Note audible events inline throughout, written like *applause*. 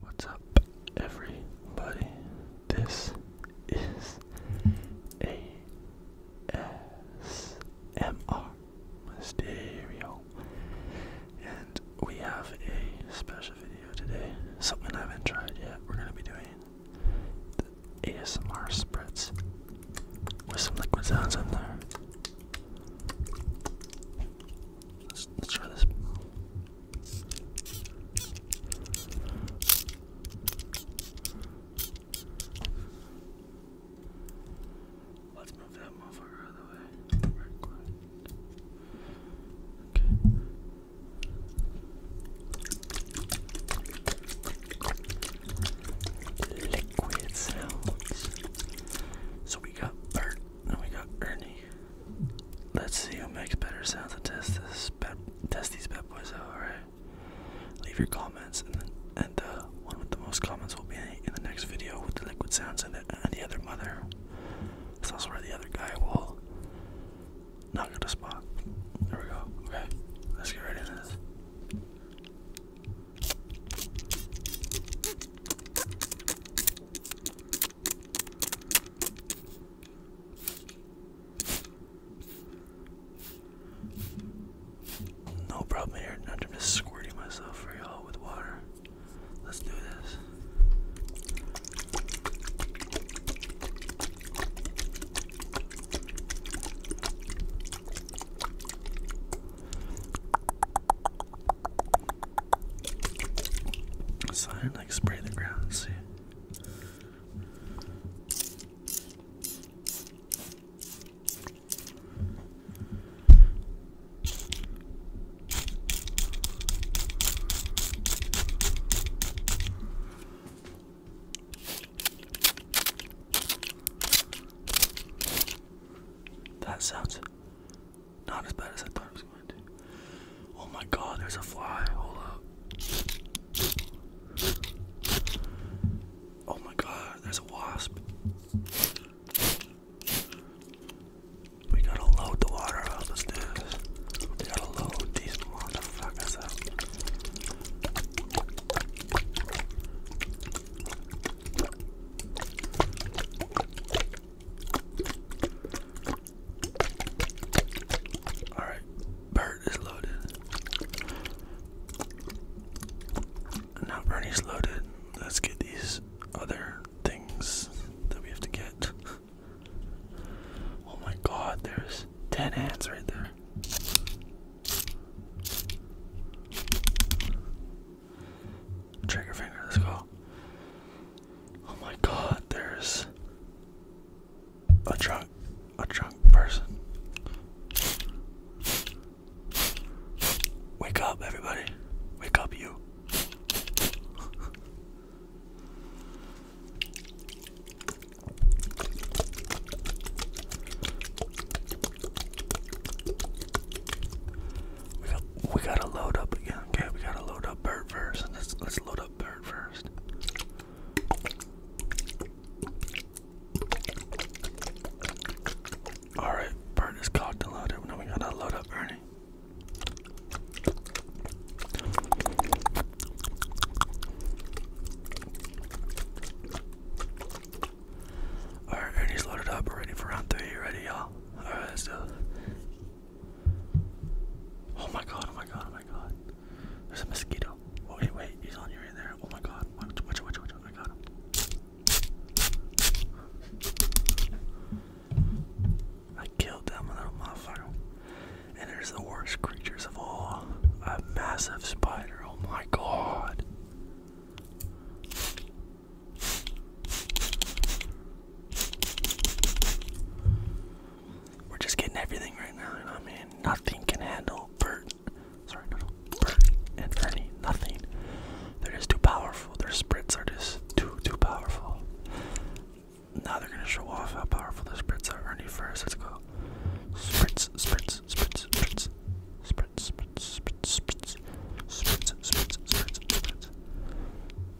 What's up, everybody? This is ASMR Mysterio, and we have a special video today. Something I haven't tried yet. We're gonna be doing the ASMR spritz with some liquid sounds in there. let's try this. Let's move that motherfucker out of the way. Right quick. Okay. Liquid sounds. So we got Bert, and we got Ernie, Let's see who makes better sounds and test this test these bad boys out. All right, leave your comments, and the, uh, one with the most comments will be in the next video with the liquid sounds and the, other mother. That's also where the other guy will knock out the spot. There we go. Okay, let's get ready for this. No problem here. I'm just squirting myself for y'all with water. Let's do this. So I like spray the ground see. That sounds not as bad as I thought it was going to. Oh my god, there's a fly. Hold up. Oh my god, there's a wasp. We gotta load the water up. Let's gotta load these motherfuckers up. All right, Bert is loaded. Now Bernie's loaded. Let's get these other things that we have to get. oh my God, there's ten ants right there. Trigger finger, let's go. Oh my god, there's a drunk a drunk person. Wake up everybody. Wake up you. We got we gotta load up again. Okay, we gotta load up bird first. Let's let's load up bird first. Alright, bird is cocked and loaded. Now we gotta load up Ernie. Alright, Ernie's loaded up. We're ready for round three. ready, y'all? Alright, let's do Oh my god, oh my god, oh my god. There's a mosquito. Oh, wait, wait, he's on you right there. Oh my god. Watch, watch, watch, watch. I got him. I killed that little motherfucker. And there's the worst creatures of all. A massive spider. Oh my god. We're just getting everything right now, you know I mean? Nothing can handle Bert. Sorry, Bert and Ernie, nothing. They're just too powerful. Their spritz are just too, too powerful. Now they're gonna show off how powerful the spritz are. Ernie first, let's go. spritz, spritz, spritz. Spritz, spritz, spritz, spritz. Spritz, spritz, spritz, spritz.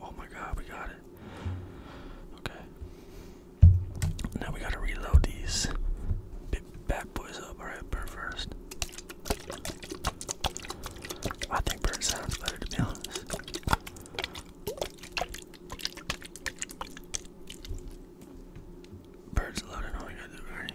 Oh my god, we got it. Okay. Now we gotta reload these bad boys up. Alright, bird first. I think bird sounds better to be honest. Bird's loaded, all we gotta do already.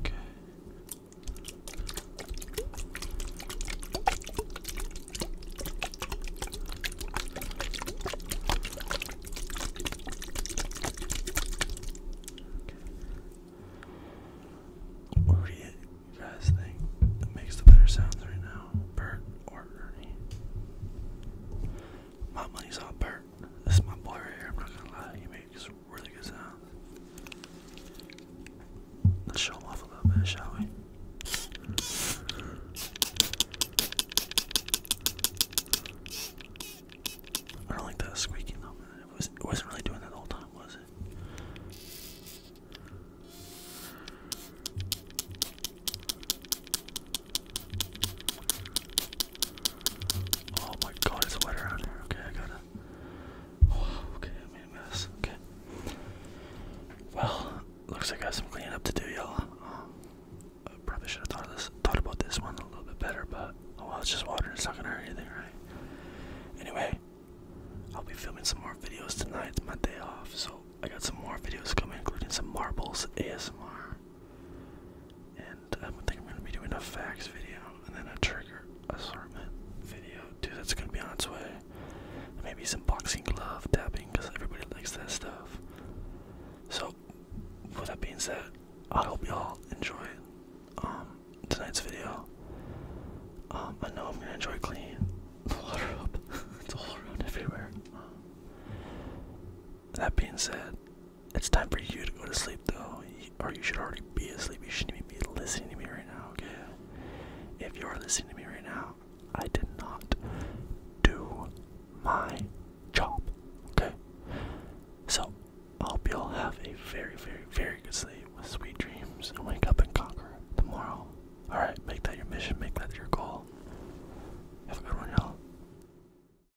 Okay. What do you guys think makes the better sounds right now? Bert or Ernie? My money's on Bert. This is my boy right here, I'm not gonna lie, Let's show them off a little bit, shall we? I don't like that squeaking though, man. It, was, it wasn't really doing that the whole time, was it? Oh my god, it's wet around here. Okay, I gotta. okay, I made a mess. Okay. Well, looks like I got some cleaning up to do, y'all. Um, I probably should have thought of this, thought about this one a little bit better, but oh well, it's just water. It's not gonna hurt anything, right? Anyway, I'll be filming some more videos tonight. It's my day off, so I got some more videos coming, including some marbles ASMR and um, I think I'm gonna be doing a facts video and then a trigger assortment video. Dude, that's gonna be on its way. And maybe some boxing glove tapping because everybody likes that stuff. So, with that being said, I hope y'all enjoy um, tonight's video. Um, I know I'm gonna enjoy cleaning *laughs* the water up. *laughs* it's all around everywhere. Um, that being said, it's time for you to go to sleep, though, or you should already be asleep. You shouldn't be listening to me right now, okay? If you are listening to me right now, I did not do my job, okay? So, I hope you will have a very, very, very good sleep with sweet dreams and wake up and conquer tomorrow. Alright, make that your mission, make that your goal. Have a good one, y'all.